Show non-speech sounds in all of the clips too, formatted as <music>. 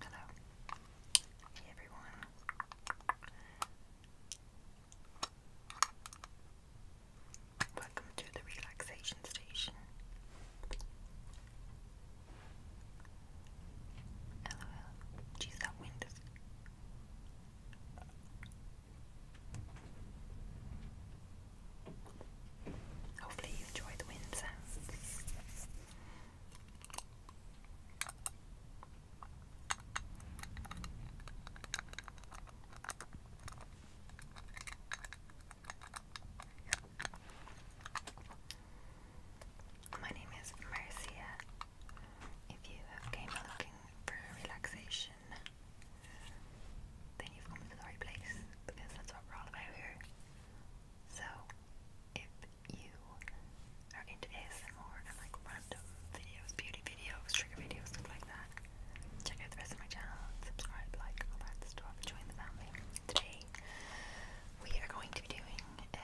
Hello. Hey everyone. Welcome to the relaxation station. LOL. Geez, that wind is. Hopefully, you enjoy the wind sounds. My name is Marcia. If you came looking for relaxation then you've come to the right place because that's what we're all about here. So, if you are into ASMR and like random videos, beauty videos, trigger videos, stuff like that, check out the rest of my channel, subscribe, like, all that stuff, join the family. Today, we are going to be doing uh,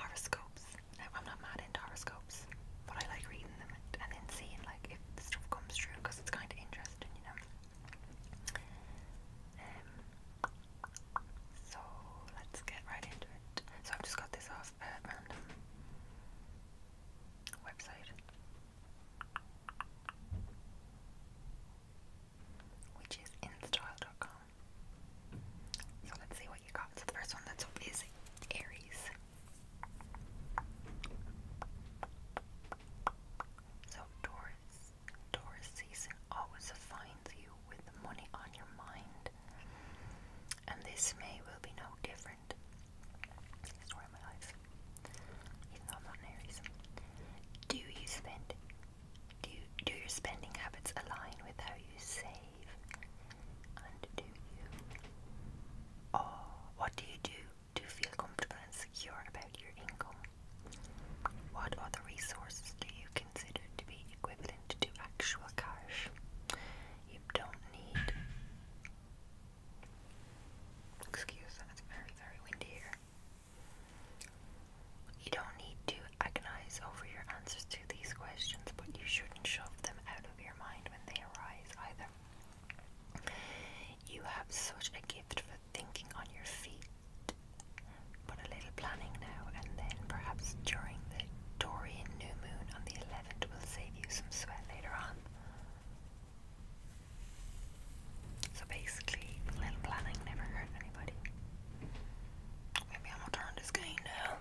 horoscopes. I'm not mad into horoscopes, but I like reading them and then seeing like if the stuff comes true because it's kind of interesting, you know. Um, so let's get right into it. So I've just got this off random website, which is instyle.com. So let's see what you got. So the first one that's up is Aries. So Taurus, Taurus season always finds you with money on your mind, and this May will be no different. Do you spend? Do do your spending habits align with how you save? undo you. Or what do you do to feel comfortable and secure about your income? What other resources do you consider to be equivalent to actual cash? You don't need. Excuse me, it's very, very windy here. You don't need to agonize over your answers to these questions, but you shouldn't shove them out of your mind when they arise either. You have such a gift for thinking on your feet. But a little planning now and then, perhaps during the Dorian new moon on the 11th, will save you some sweat later on. So basically, little planning never hurt anybody. Maybe I'm gonna turn this game now.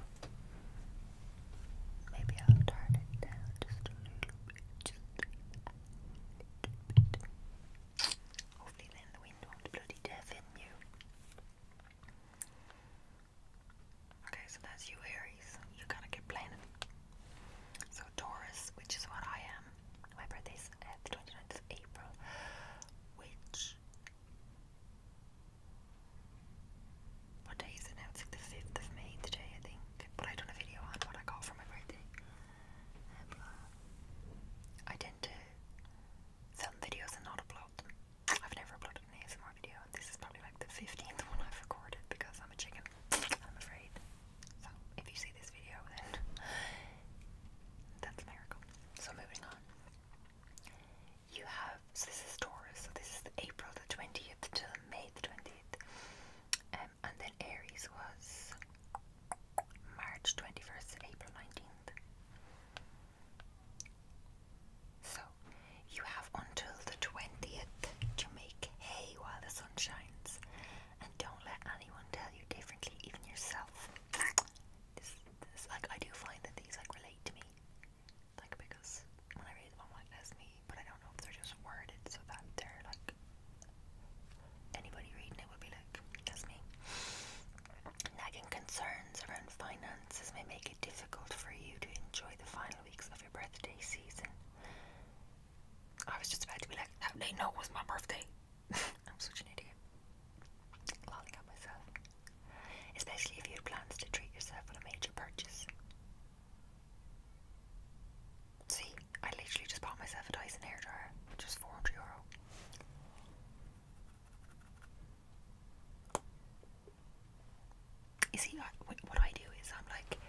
Maybe I'll turn it down just a little bit. Hopefully then the wind won't bloody deafen you. Okay, so that's you Aries. You gotta get planning. So Taurus, which is what I am. My birthday's uh, the 29th of April, which what is it the 5th of May today, I think. But I done a video on what I got for my birthday. But I tend to film videos and not upload I've never uploaded an ASMR video, this is probably like the 15th one I've recorded because I'm a chicken. I'm afraid. So, if you see this video, then that's a miracle. So, moving on. You have so this is Taurus, so this is April the 20th to May the 20th. Um, and then Aries was March 21st to April 19th. So you have until the 20th to make hay while the sun shines. And don't let anyone tell you differently, even yourself. This, this, like I do find that these like relate to me. Like, because when I read them, I'm like, that's me. But I don't know if they're just worded so that they're like, anybody reading it would be like, that's me. Nagging concerns around finances may make it difficult for you to enjoy the final weeks of your birthday season. I was just about to be like, how they know it was my birthday? <laughs> I'm such an idiot. Lolling myself. Especially if you had plans to treat yourself with a major purchase. See, I literally just bought myself a Dyson hair dryer, which was 400 euro. You see, what I do is I'm like,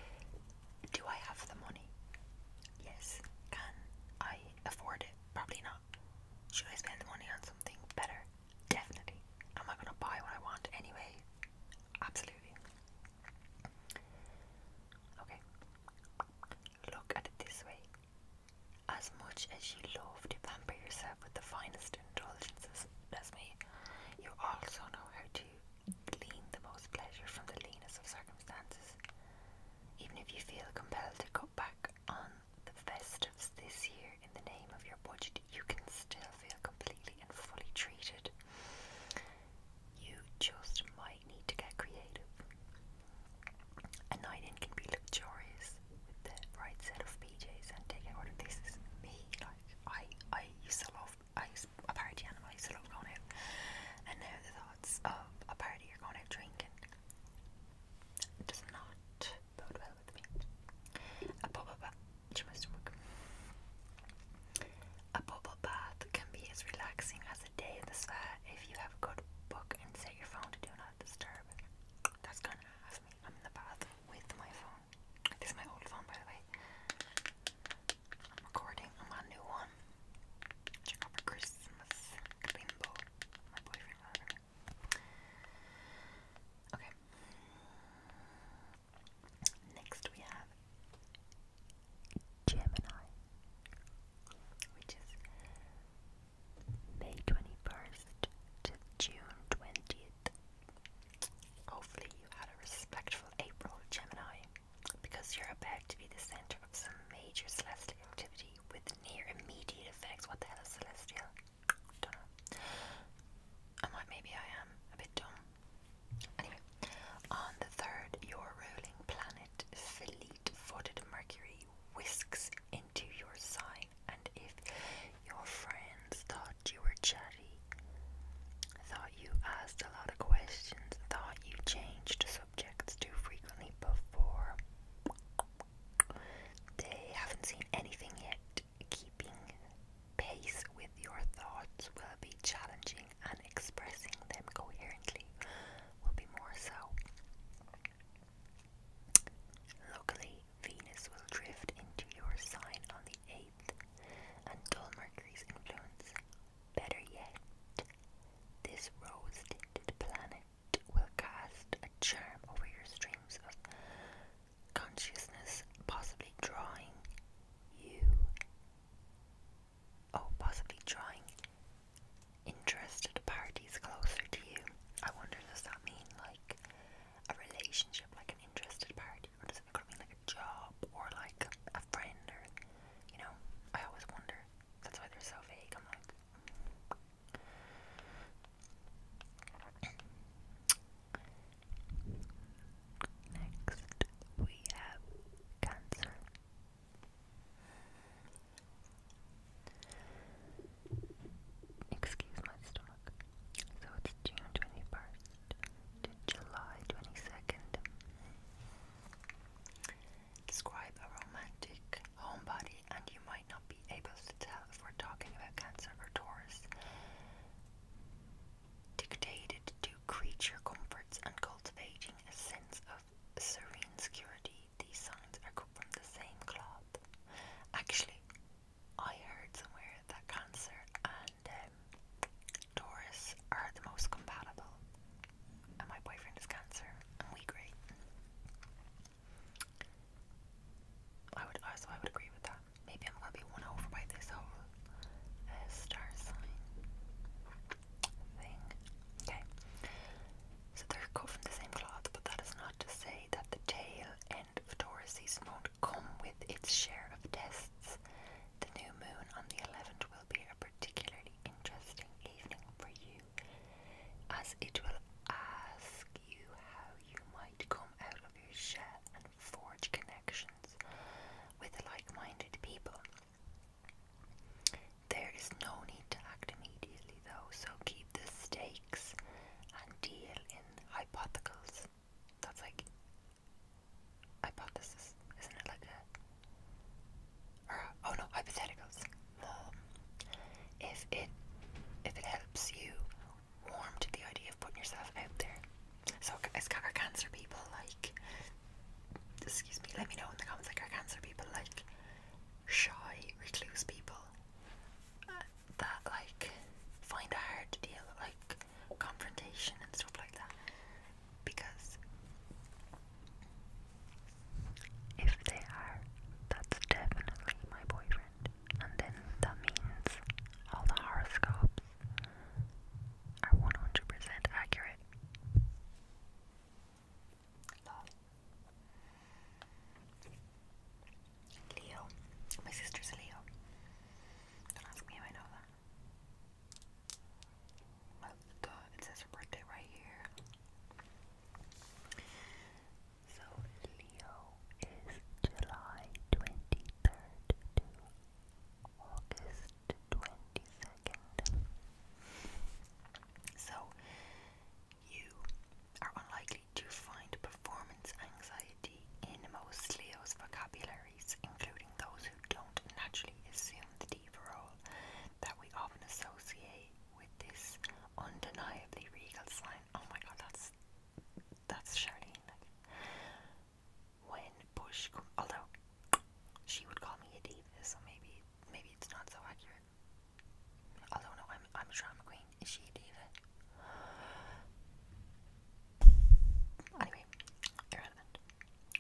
do I have the money? Yes. Can I afford it? Probably not. Should I spend the money on something better? Definitely. Am I going to buy what I want anyway? Absolutely. Okay. Look at it this way. As much as you love to pamper yourself with the finest indulgences, as you also know how to glean the most pleasure from the leanness of circumstances. Even if you feel compelled to cut back on the festives this year, in the name of your budget, you can still feel completely and fully treated. You just might need to get creative. A night in can be luxurious with the right set of PJs and taking order. This is me. Like I, I used to love. I party animal. I used to love going out, and now the thoughts of a party you're going out drinking does not bode A bubble bath, can be as relaxing as a day in the spa if you have a good book and set your phone to do not disturb. That's gonna ask me. I'm in the bath with my phone. This is my old phone, by the way. I'm recording on my new one. Check out my Christmas limbo. My boyfriend, Okay. Next we have Gemini, which is May 21st to June 20th. Hopefully, you had a respectful April, Gemini, because you're about to be the center of some major celestial activity with near immediate effects. What the hell is celestial? do I'm maybe I am a bit dumb. Anyway, on the third, your ruling planet, fleet footed Mercury, whisks into your sign, and if your friends thought you were chatty, thought you asked a lot of questions, thought you changed subjects too frequently before, they haven't seen anything yet keeping pace with your thoughts will be challenging and expressing them coherently will be more so. Luckily, Venus will drift into your sign on the 8th and dull Mercury's influence. Better yet, this rose planet will cast a charm over your streams consciousness possibly drawing you, oh, possibly drawing interested parties closer to you. I wonder, does that mean like a relationship, like an interested party, or does it could mean like a job or like a friend, or you know? I always wonder. That's why they're so vague. I'm like. Next, we have Cancer. Excuse my stomach. So it's June 21st to July 22nd. Describe a romantic homebody, and you might not able to tell if we're talking about Cancer or Taurus. Dictated to creature comforts and cultivating a sense of serene security, these signs are cut from the same cloth. Actually, I heard somewhere that Cancer and um, Taurus are the most compatible, and my boyfriend is Cancer, and we agree. I would also I would agree with that. Maybe I'm gonna be one over by this whole uh, star sign thing. Okay. So they're cut from the same cloth, but that is not to say that the tail end of Taurus season won't come with its share of tests. The new moon on the 11th will be a particularly interesting evening for you, as it will ask you how you might come out of your shell and forge connections with like minded people. There is no need to act immediately, though, so keep the stakes and deal in hypotheticals. That's like hypothesis, isn't it? Like oh no, hypotheticals. Um, if it if it helps you warm to the idea of putting yourself out there. So, as cancer people like, excuse me, let me know in the comments, like, are cancer people like shy, recluse people uh, that like find it hard to deal with like confrontation and stuff like that? Because if they are, that's definitely my boyfriend and then that means all the horoscopes are 100% accurate. Leo. My sister's Leo. Don't ask me how I know that. Well, it says her birthday right here. So Leo is July 23rd to August 22nd. So you are unlikely to find performance anxiety in most Leo's vocabularies, including those who don't naturally assume the diva role that we often associate with this undeniably regal sign Oh my god, that's that's Charlene. When Bush, although she would call me a diva, so maybe maybe it's not so accurate. Although no, I'm I'm a drama queen. Is she a diva? Anyway, irrelevant.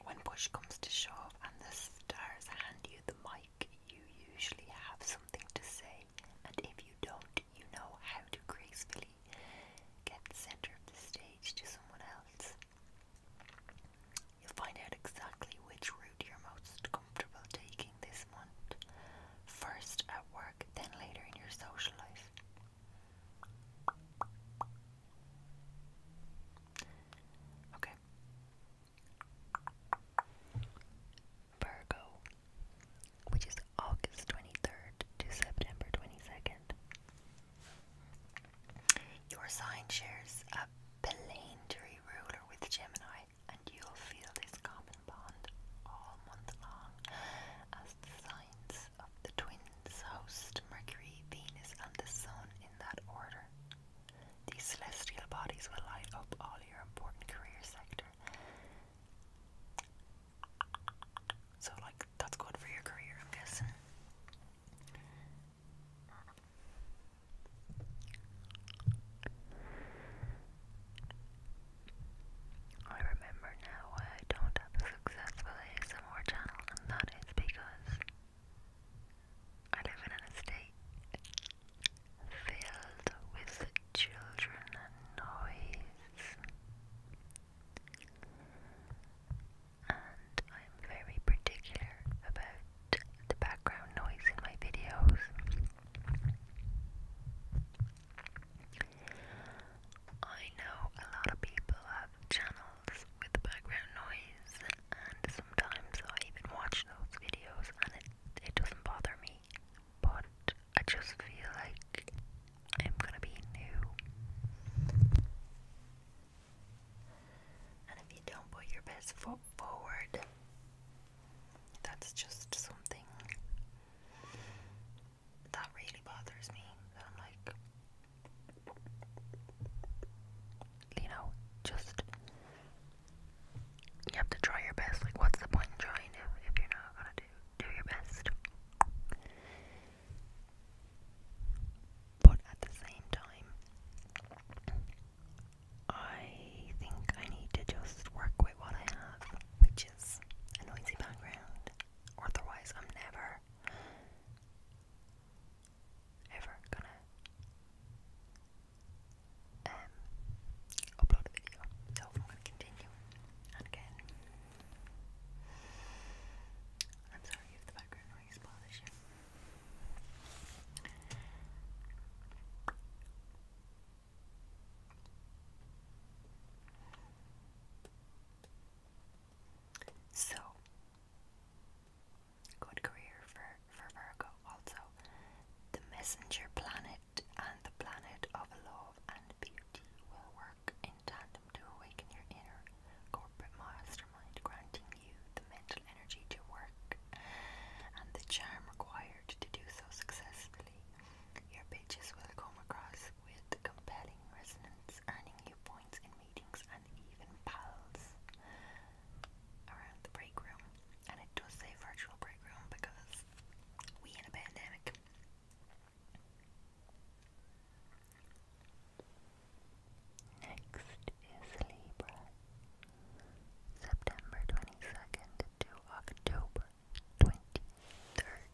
When push comes to shove and the stars hand you the mic, you usually have something to say and if you don't, you know how to gracefully get center of the stage to someone else. You'll find out exactly which route you're most comfortable taking this month, first at work, then later in your social life. Okay. Virgo, which is August 23rd to September 22nd. Your sign shares a planetary ruler with Gemini, and you'll feel this common bond all month long as the signs of the twins host Mercury, Venus, and the Sun in that order. These celestial bodies will light up all your important career sectors. So, like, that's good for your career, I'm I remember now why I don't have a successful ASMR channel, and that is because I live in an estate filled with children and noise. And I'm very particular about the background noise in my videos. I know a lot of people have channels with background noise, and sometimes I even watch those videos, and it, it doesn't bother me but I just feel like I'm gonna be new. And if you don't put your best foot forward, that's just something that really bothers me. I'm like, you know, just you have to try your best. Like, what's the point in trying if, you're not gonna do do your best? But at the same time, I think I need to just work with what I have, which is a noisy background. Otherwise, I'm never, ever gonna um, upload a video. So I'm going to continue again. I'm sorry if the background noise bothers you. So, good career for for Virgo. Also, the messenger planet and the planet of love and beauty will work in tandem to awaken your inner corporate mastermind, granting you the mental energy to work and the charm required to do so successfully. Your pitches will come across with compelling resonance, earning you points in meetings and even pals around the break room, and it does say virtual break room because we in a pandemic. Next is Libra, September 22nd to October 23rd.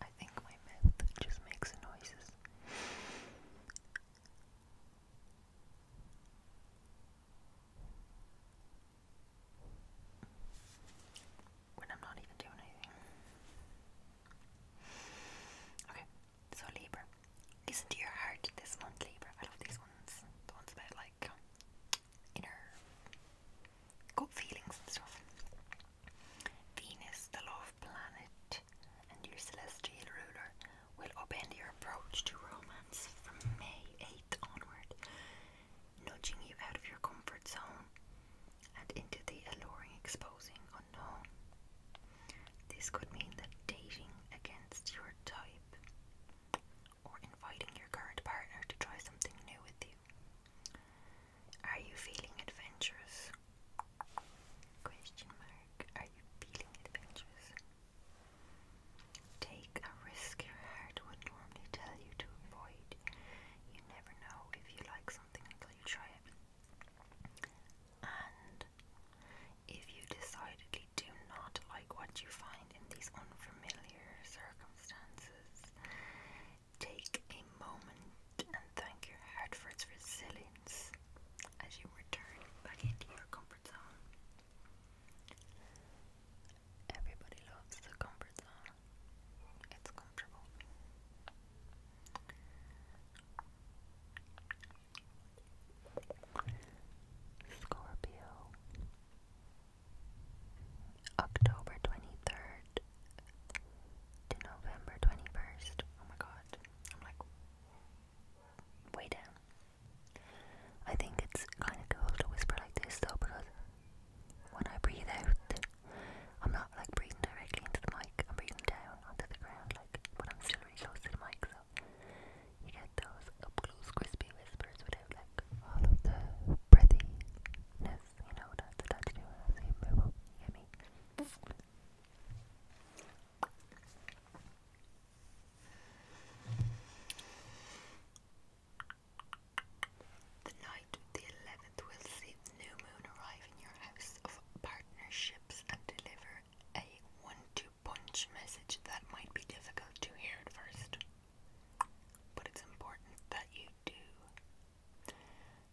I think my mouth just makes noises this. When I'm not even doing anything. Okay, so Libra. Listen to your heart this month, Libra. I love these ones. The ones about like inner gut feelings and stuff. Venus, the love planet and your celestial ruler, will upend your approach to romance from May 8th onward, nudging you out of your comfort zone and into the alluring, exposing unknown. This could mean that dating against your type or inviting your current partner to try something new with you. Are you feeling adventurous? Question mark. Are you feeling adventurous? Take a risk your heart would normally tell you to avoid. You never know if you like something until you try it. And if you decidedly do not like what you find in these unfamiliar circumstances, Take a moment and thank your heart for its resilience as you return back into your comfort zone. Everybody loves the comfort zone, it's comfortable. Scorpio. October 23rd to November 21st. Oh my god. I'm like way down. I think it's kind of cool to whisper like this though because when I breathe out, I'm not like breathing directly into the mic, I'm breathing down onto the ground, like, but I'm still really close to the mic, so you get those up close, crispy whispers without like all of the breathiness you know what to do with The night of the 11th will see the new moon arrive in your house of partnerships and deliver a one-two punch message that might be difficult to hear at first. But it's important that you do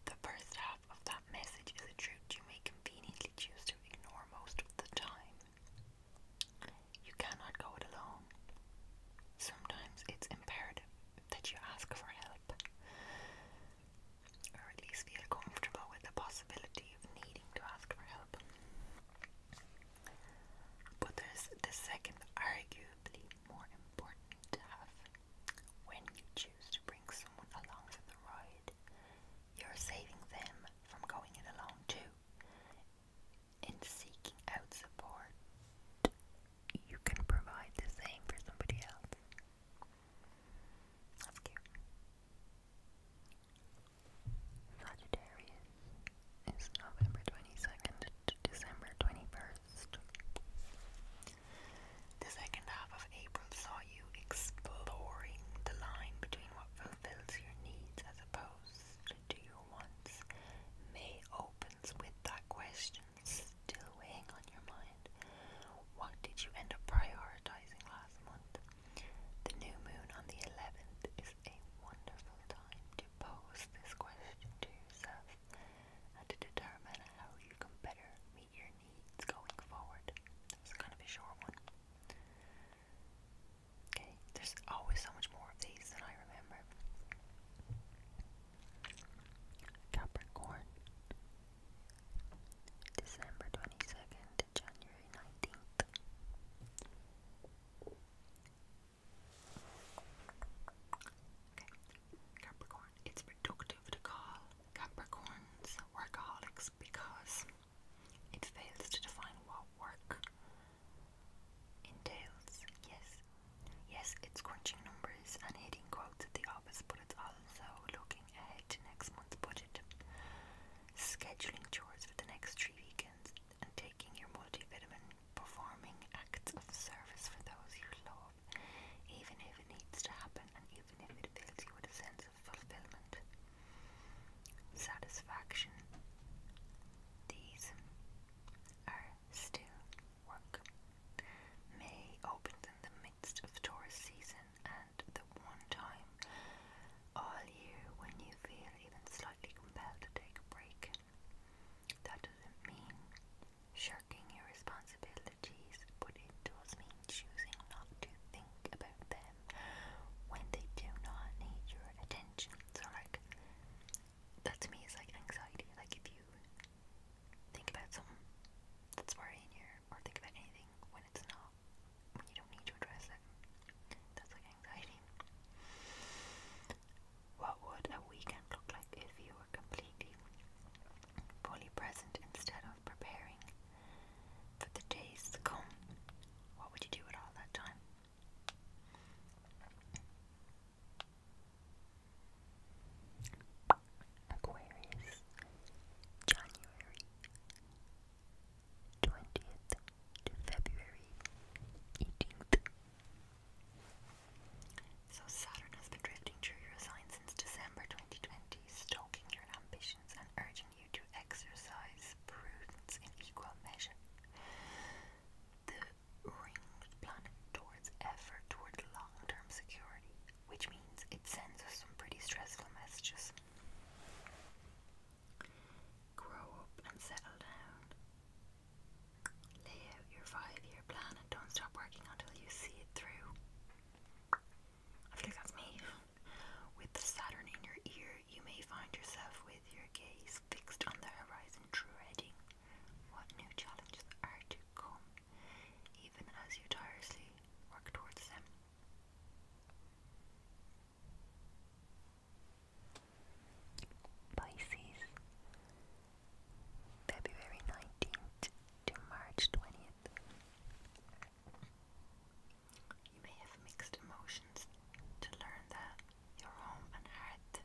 the first half of that message is a truth you may conveniently choose to ignore most of the time. You cannot go it alone. Sometimes it's imperative that you ask for help, or at least feel comfortable with the possibility of needing to ask for help. But there's the second, arguably more important half when you choose to bring someone along for the ride, you're saving them from going it alone too. In seeking out support, you can provide the same for somebody else. That's cute. Sagittarius is November 22nd to December 21st. The second half of April saw you exploring the line between what fulfills your needs as opposed to your wants. May opens with that question still weighing on your mind. What did you end up prioritizing last month? The new moon on the 11th is a wonderful time to pose this question to yourself and uh, to determine how you can better meet your needs going forward. That was kind of a short one. Okay, there's always so much more of these than I remember. Capricorn, December 22nd to January 19th. Okay, Capricorn. It's reductive to call Capricorns workaholics because it fails to define what work entails. Yes, yes, it's crunching numbers and hitting quotes at the office, but it's also looking ahead to next month's budget, scheduling chores for the next three weekends, and taking your multivitamin, performing acts of service for those you love even if it needs to happen and even if it fills you with a sense of fulfillment, satisfaction. These are still work. May opens in the midst of tourist season and the one time all year when you feel even slightly compelled to take a break. That doesn't mean shirking your responsibilities, but it does mean choosing not to think about them when they do not need your attention. So, like, that to me is like anxiety. Like, if you think about something that's worrying you, or think about anything when it's not, when you don't need to address it, that's like anxiety. What would a weekend look like if you were completely fully present instead of preparing for the days to come? What would you do with all that time? Aquarius, January 20th to February 18th. So Saturn has been drifting through your sign since December 2020, stalking your ambitions and urging you to exercise prudence in equal measure. The ringed planet towards effort toward long-term security, which means it sends us some pretty stressful messages. Grow up and settle down. Lay out your five year plan and don't stop working until you see it through. I feel like that's me. With the Saturn in your ear, you may find yourself with your gaze fixed on the horizon, dreading what new challenges are to come, even as you tirelessly work towards them. Pisces, February 19th to March 20th. You may have mixed emotions to learn that your home and heart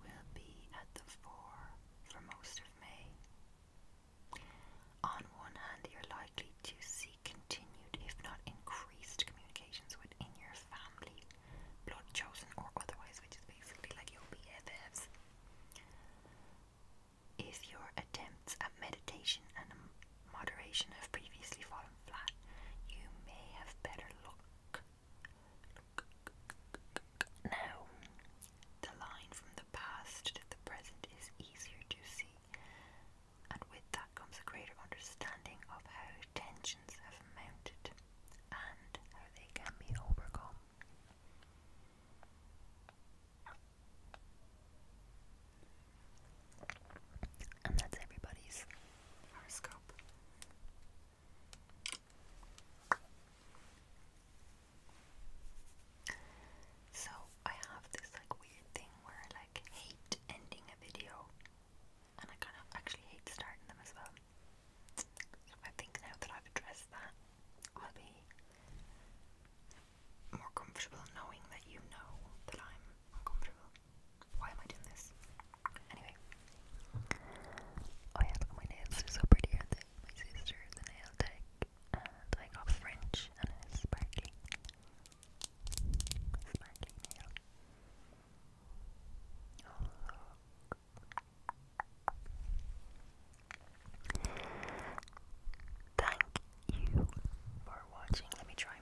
will be at the fore for most of May. On one hand, you're likely to see continued, if not increased, communications within your family blood chosen or otherwise, which is basically like your BFFs. If your attempts at meditation and moderation have previously fallen flat, you may have better luck. Now, the line from the past to the present is easier to see, and with that comes a greater understanding of how attention. And that's everybody's horoscope. So I have this like weird thing where I like hate ending a video and I kind of actually hate starting them as well. I think now that I've addressed that, I'll be more comfortable knowing that you know that I'm uncomfortable. Why am I doing this? Anyway. Oh yeah, my nails, are so pretty, aren't they? My nail tech, and I got French, and it's sparkly. Sparkly nail. Oh, look. Thank you for watching. Let me try.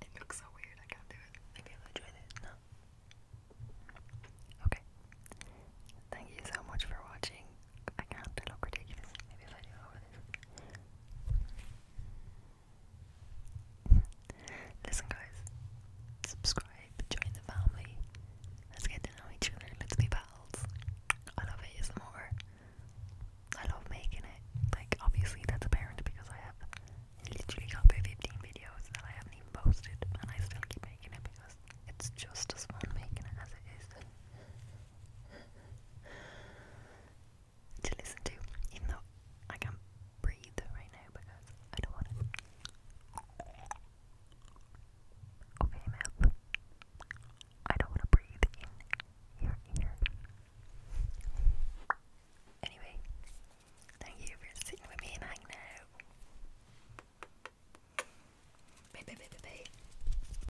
It looks so weird. I can't do it. Maybe I'll enjoy it. No. Okay. Thank you so much for watching. I can't look ridiculous. <laughs> Listen, guys, subscribe, join the family. Let's get to know each other. Let's be pals. I love ASMR. I love making it. Like, obviously, that's apparent because I have literally got 15 videos that I haven't even posted, and I still keep making it because it's just as fun making it as it is to listen to, even though I can't breathe right now because I don't want to open mouth. I don't want to breathe in your ear. Anyway, thank you for sitting with me and hanging out. Bye, bye, bye, bye, bye.